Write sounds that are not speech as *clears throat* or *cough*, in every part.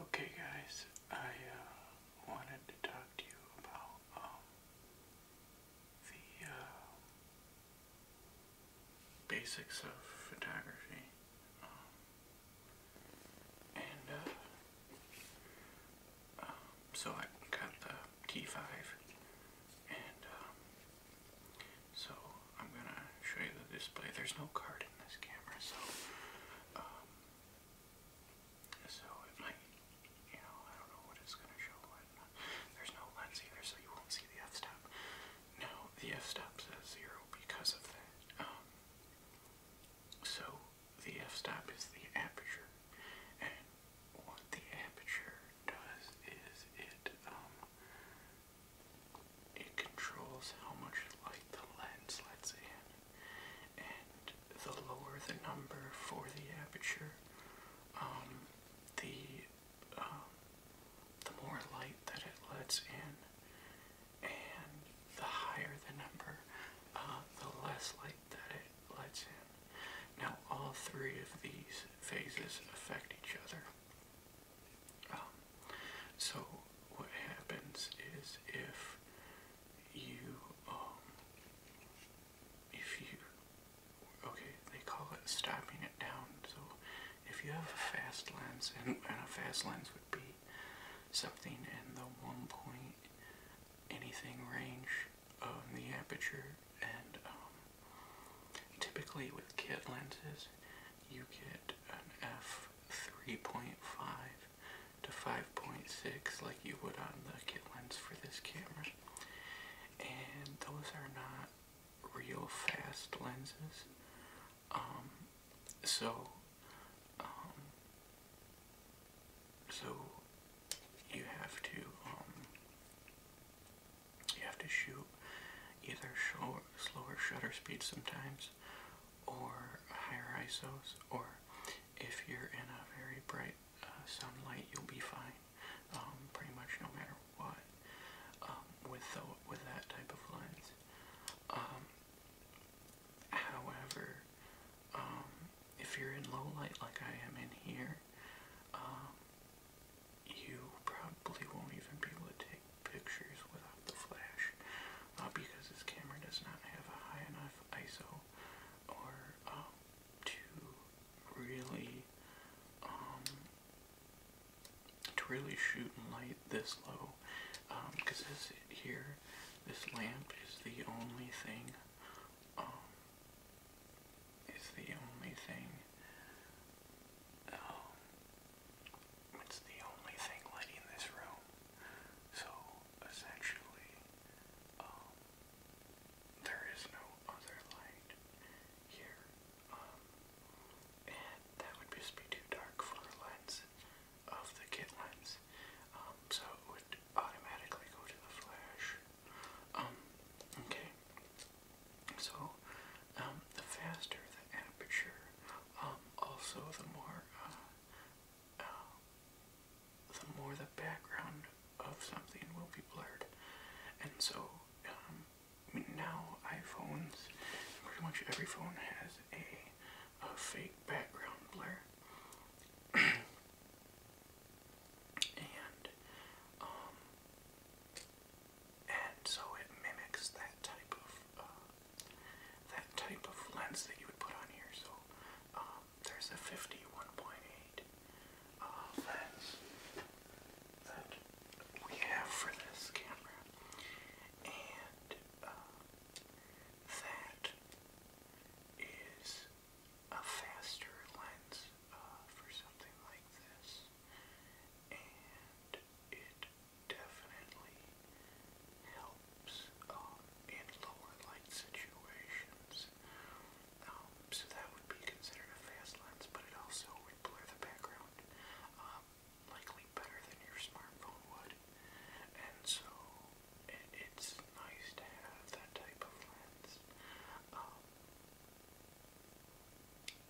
Okay, guys, I uh, wanted to talk to you about um, the uh, basics of photography. Um, and uh, um, so I got the T5, and so I'm gonna show you the display. There's no card in this camera, so so it might, you know, I don't know what it's going to show. There's no lens either, so you won't see the f-stop. Now, the f-stop says zero because of that. Um, so the f-stop is the aperture, and what the aperture does is it um, it controls how much light the lens lets in, and the lower the number for the aperture, um, the um, the more light that it lets in, and the higher the number, uh, the less light that it lets in. Now all three of these phases affect each other. Um, so what happens is if you um if you okay they call it stopping it down so if you have a fast lens and, and a fast lens would be something in the one point anything range of the aperture and um, typically with kit lenses you get an f 3.5 to 5.6 like you would on the kit lens for this camera. And those are not real fast lenses. Um, so, um, so you have to, um, you have to shoot either slower shutter speed sometimes or higher ISOs, or if you're in a very bright uh, sunlight, you'll be fine um, pretty much no matter what um, with, with that type of lens. Um, however, if you're in low light like I am in here, you probably won't even be able to take pictures without the flash uh, because this camera does not have a high enough ISO or um, to really um, to really shoot and light this low because um, this here this lamp is the only thing um, is the only thing it's the only thing lighting this room. So essentially, um, there is no other light here. Um, and that would just be too dark for the lens of the kit lens. Um, so it would automatically go to the flash. okay. So, the faster the aperture, also the more uh, uh, the more the background of something will be blurred and so um, now iPhones pretty much every phone has a, a fake background blur *clears throat* and um, and so it mimics that type of uh, that type of lens that you would put on here. So um, there's a 51.8 uh, lens that we have for this camera, and uh, that is a faster lens uh, for something like this, and it definitely helps um, in lower light situations. Um, so that would be considered a fast lens, but it also would blur the background, um, likely better than your smartphone would. And so it, it's nice to have that type of lens. Um,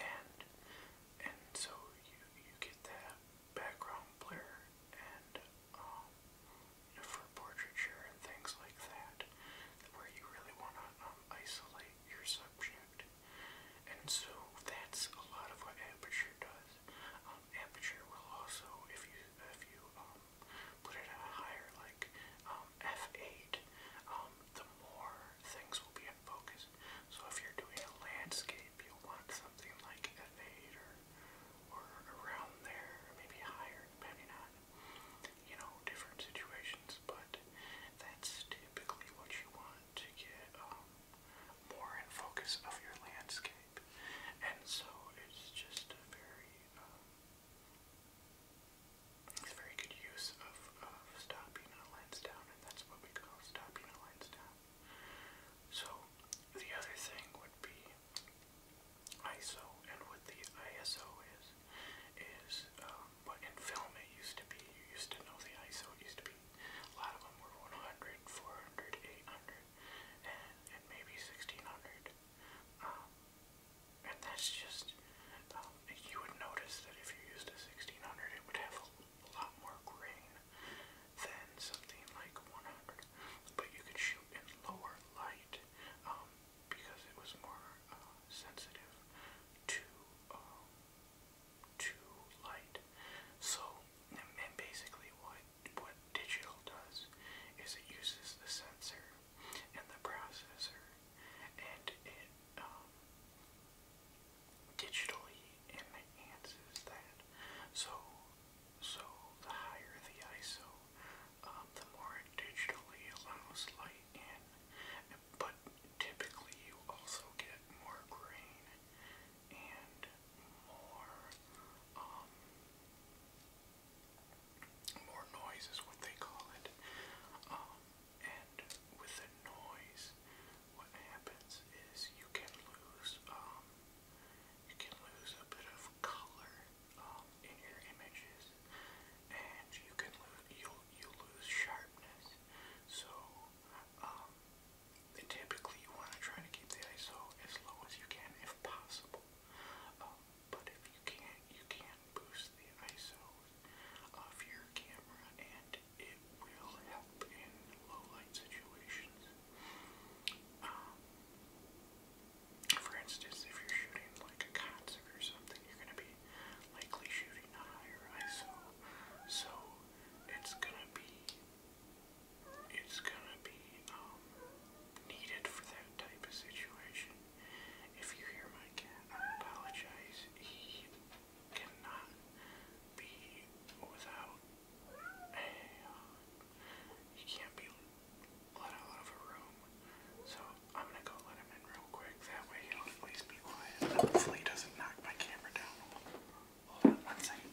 and and so you you get that background blur and um, you know, for portraiture and things like that, where you really want to um, isolate your subject. And so that's a lot of what aperture does. Um, aperture will also, if you if you um, put it at a higher like um, f8, um, the more things will be in focus so if you're doing a landscape, you want something like an 8 or, or around there, maybe higher, depending on, you know, different situations. But that's typically what you want to get um, more in focus of your landscape. And so it's just a very, um, it's a very good use of stopping a lens down, and that's what we call stopping a lens down. So the other thing would be ISO, and what the ISO is is um, what in film it used to be. You used to know the ISO. It used to be a lot of them were 100, 400, 800, and, and maybe 1600. Um, and that's just um, you would notice that if you used a 1600, it would have a a lot more grain than something like 100, but you could shoot in lower light um, because it was more uh, sensitive to um, to light. So, and basically, what what digital does is it uses the sensor and the processor, and it um, digitally enhances that. So, so the higher the ISO, um, the more it digitally allows light in. But typically, you also get more grain and more um, more noise is what they call it. Um, and with the noise, what happens is you can lose um, you can lose a bit of color um, in your images, and you can lose you you lose sharpness. So um, typically you want to try to keep the ISO as low as you can if possible. Um, but if you can you can boost the ISO off your camera and it will help in low light situations. Um, for instance, if you're shooting like a concert or something, you're going to be likely shooting a higher ISO, so it's going to be it's going to be um, needed for that type of situation. If you hear my cat, I apologize cannot be without a, he uh, can't be let out of a room. So I'm gonna go let him in real quick. That way he'll at least be quiet. Hopefully he doesn't knock my camera down. Hold on one second.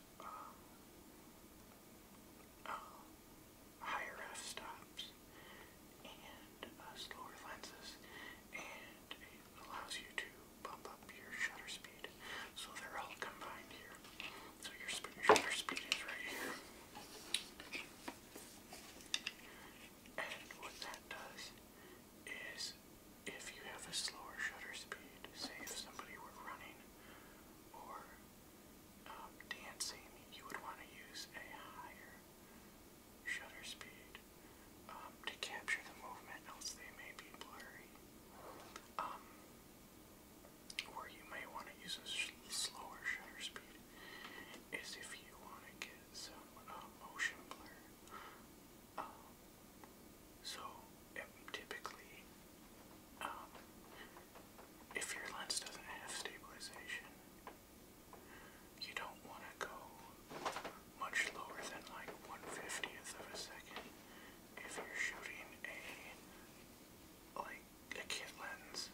Um, um, higher f stops and uh, slower lenses, and allows you to bump up your shutter speed. So they're all combined here. So your, your shutter speed is right here. And what that does is if you have a slower shutter speed, say if somebody were running or um, dancing, you would want to use a higher shutter speed um, to capture the movement, else they may be blurry. Um, or you may want to use a slower shutter speed, is if you want to get some uh, motion blur. So typically, um, if your lens doesn't have stabilization, you don't want to go much lower than like 150th of a second if you're shooting a like a kit lens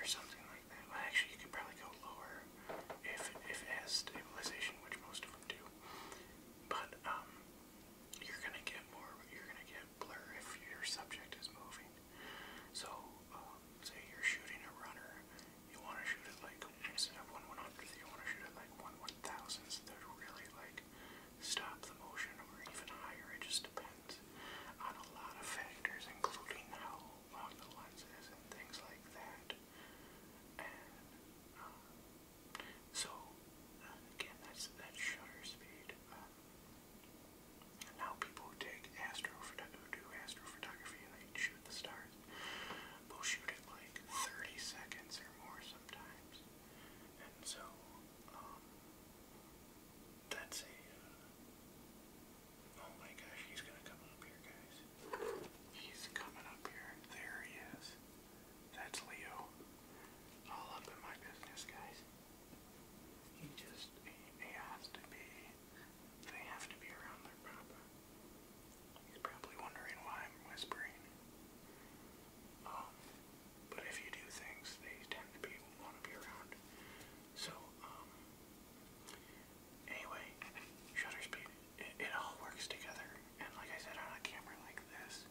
or something like that. actually, you could probably go lower if if it has stabilization, which most of them do. But um, you're gonna get more. You're gonna get blur if your subject is moving. So, um, say you're shooting a runner, you want to shoot it like instead of one one hundredth, you want to shoot it like one one thousandth. That really like stop the motion, or even higher. It just depends on a lot of factors, including how long the lens is and things like that. Um, so uh, again, that's that shutter speed. Um, now people take astrophotography and they shoot the stars will shoot it like 30 seconds or more sometimes. And so um, that's a. oh my gosh, he's gonna come up here, guys. He's coming up here. There he is. That's Leo. All up in my business, guys. He just, he, has to be, they have to be around their papa. He's probably wondering why I'm whispering. Um, but if you do things, they tend to be, want to be around. So, um, anyway, shutter speed it, all works together. And like I said, on a camera like this,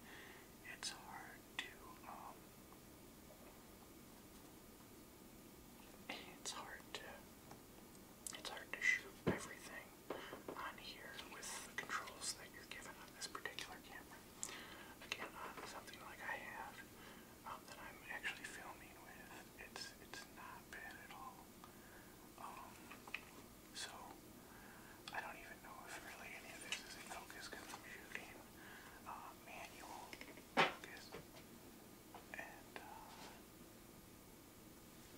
it's hard to, um, it's hard to, it's hard to shoot everything on here with the controls that you're given on this particular camera. Again, on something like I have, um, that I'm actually filming with, it's, it's not bad at all. Um, so I don't even know if really any of this is in focus because I'm shooting uh, manual focus. And uh,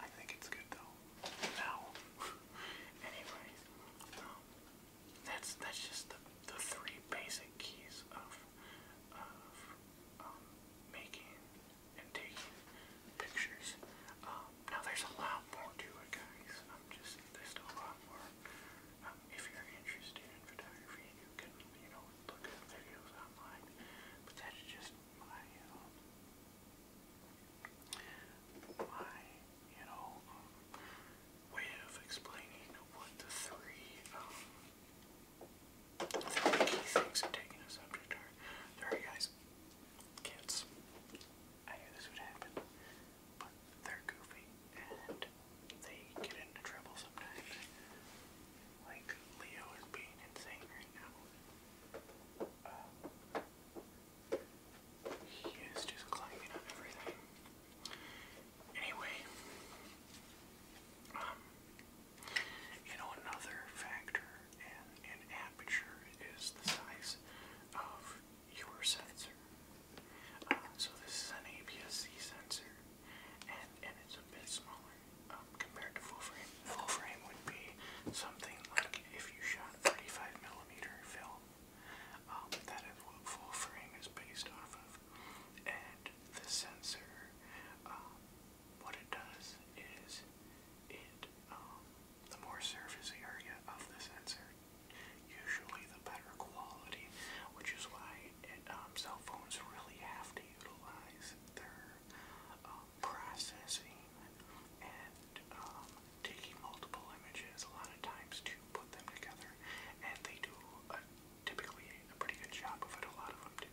I think it's good though. Now, *laughs* anyways, um, that's that's just the, the three basic keys of of um, making and taking pictures. Um, now there's a lot more to it, guys. I'm just there's still a lot more. Um, if you're interested in photography, you can you know look at videos online. But that's just um, my you know um, way of explaining what the three um, the key things of taking a subject are. Sorry, guys. Kids. I knew this would happen, but they're goofy and they get into trouble sometimes. Like Leo is being insane right now. Um, he is just climbing on everything. Anyway, um, you know another factor and an aperture is the size of your sensor. Uh, so this is an APS-C sensor, and and it's a bit smaller um, compared to full frame. Full frame would be something like if you shot 35 millimeter film. Um, that is what full frame is based off of, and the sensor. Um, what it does is it um, the more surface area of the sensor, usually the better quality, which is why um, cell phones really have to utilize their um, processing and um, taking multiple images a lot of times to put them together, and they do typically a pretty good job of it. A lot of them do,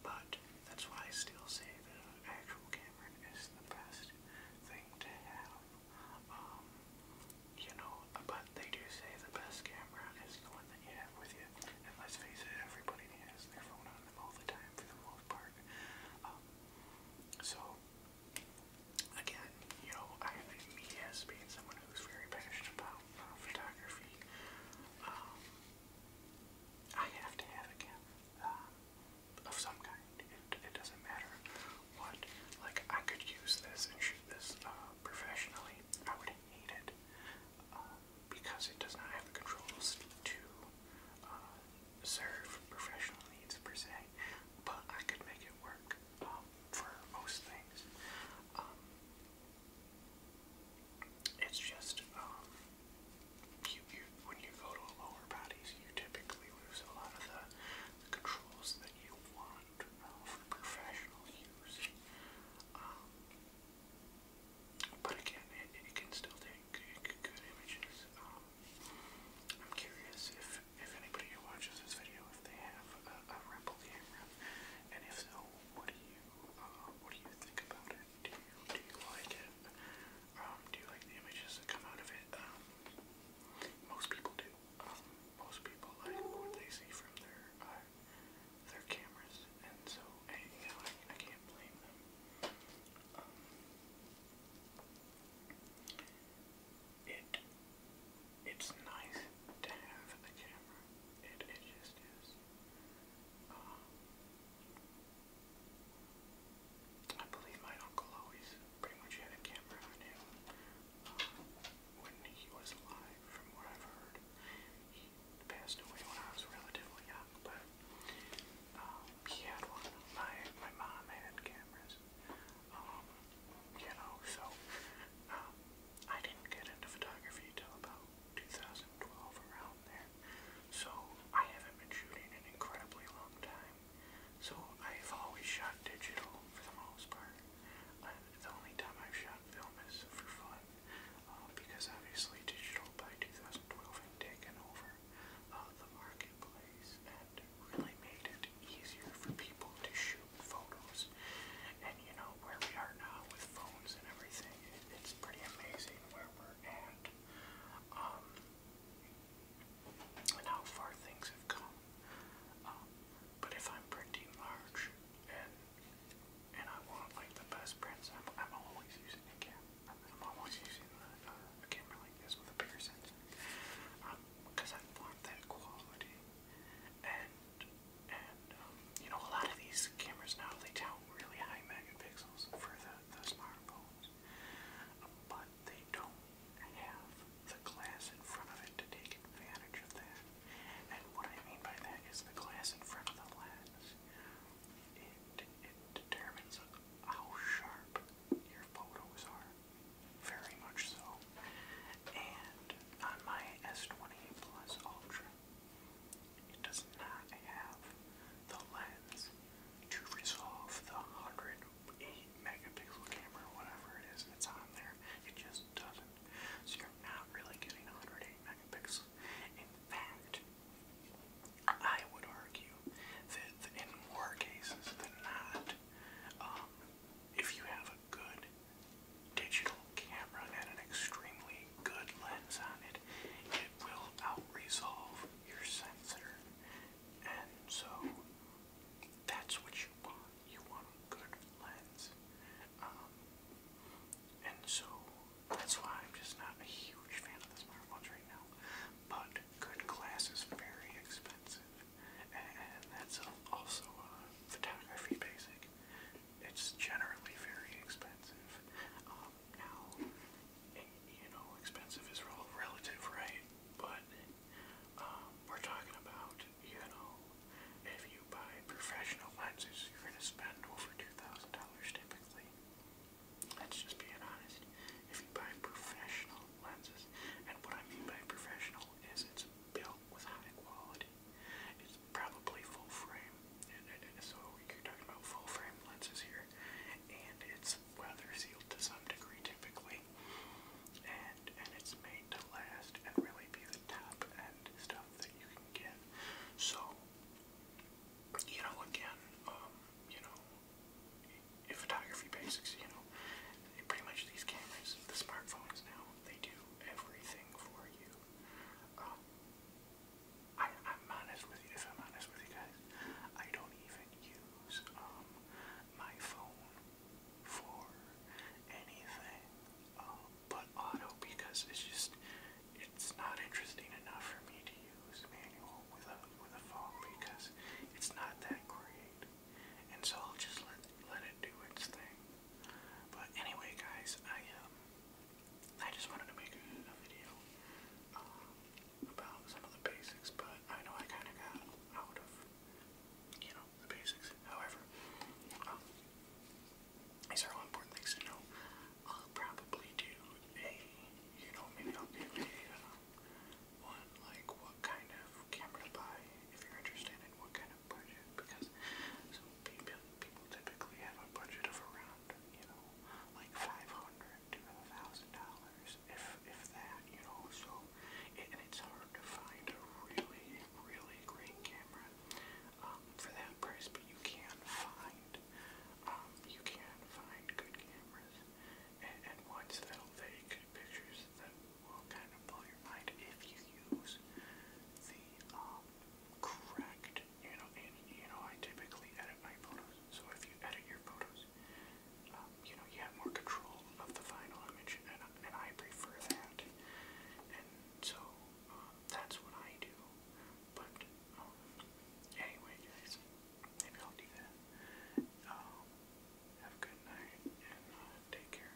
but that's why I still say that an actual camera is the best thing to have. Um, you know, but they do say the best camera is the one that you have with you. And let's face it, everybody has their phone on them all the time for the most part. Um, so, again, you know, I, me as being someone who's very passionate about photography, um, I have to have a camera of some kind. It, it doesn't matter what. Like, I could use this and shoot this uh, professionally. I would hate it uh, because it does not have the controls to uh, serve professional needs per se. But I could make it work um, for most things. Um, it's just, um, you, you, when you go to lower bodies, you typically lose a lot of the, controls that you want for professional use. Um, but again, it, it can still take good, images. Um, I'm curious if, if anybody who watches this video, if they have a, Rebel camera, and if so, what do you uh, what do you think about it? Do you do you like it? Um, do you like the images that come out of it? Um, most people do. Um, most people like what they see from their uh, their cameras, and so hey, I, can't blame them. it it's nice to have a camera. It it just is. I believe my uncle always pretty much had a camera on him um, when he was alive, from what I've heard. He passed away when I was relatively young, but um, he had one. My, my mom had cameras, um, you know, so um, I didn't get into photography till about 2012, around there. So I haven't been shooting in incredibly long time. So I've always shot digital for the most part. Uh, the only time I've shot film is for fun, uh, because obviously digital by 2012 had taken over uh, the marketplace and really made it easier for people to shoot photos. And you know, where we are now with phones and everything, it's pretty amazing where we're at um, and how far things have come. Um, but if I'm printing large and and I want like the best prints, I'm, I'm always using a camera. I'm always using a, uh, a camera like this with a bigger sensor um, because I want that quality. And and um, you know a lot of these cameras now they tout really high megapixels for the those marbles, but they don't have the glass in front of it to take advantage of that. And what I mean by that is the glass in front of the lens. It, it determines how sharp your photos are, very much so. And on my S28 Plus Ultra, it does not have the lens to resolve the 108 megapixel camera, whatever it is that's on there. It just doesn't. So you're not really getting 108 megapixels. In fact, I would argue that in more cases than not, um, if you have a good digital camera and an extremely good lens on it, it will out your sensor. And so that's what you want. You want a good lens. Um, and so that's why I'm just not a huge fan of the smartwatch right now. But good glass is very expensive, and that's also a photography basic. It's generally very expensive. Um, now, you know, expensive is rel relative, right? But um, we're talking about, you know, if you buy professional lenses, you're going to spend over $2,000 typically. Let's just be honest. If you buy professional lenses, and what I mean by professional is it's built with high quality. It's probably full frame and, and, and so you're talking about full frame lenses here, and it's weather sealed to some degree typically, and and it's made to last and really be the top end stuff that you can get. So you know, again, um, you know, in photography basics, you know, pretty much these cameras, the smartphones now, they do everything for you. Um, I, am honest with you, if I'm honest with you guys, I don't even use um, my phone for anything um, but auto because it's just, it's not interesting enough for me to use manual with a, with a phone because it's not that great. And so I'll just let, let it do its thing. But anyway guys, I um I just wanted to make a, a video um, about some of the basics, but I know I kind of got out of, you know, the basics. However, um, these are all important things to know. I'll probably do a, you know, maybe I'll do a um, one like what kind of camera to buy if you're interested in what kind of budget because so people people typically have a budget of around you know like five hundred to a thousand dollars, if if that, you know. So, it, and it's hard to find a really really great camera um, for that price, but you can find um, you can find good cameras and, and ones that'll take pictures that will kind of blow your mind if you use the um, correct you um, know, and you know, I typically edit my photos. So if you edit your photos, um, you know, you have more control of the final image, and and I prefer that. And so um, that's what I do. But um, anyway, guys, maybe I'll do that. Um, have a good night and uh, take care.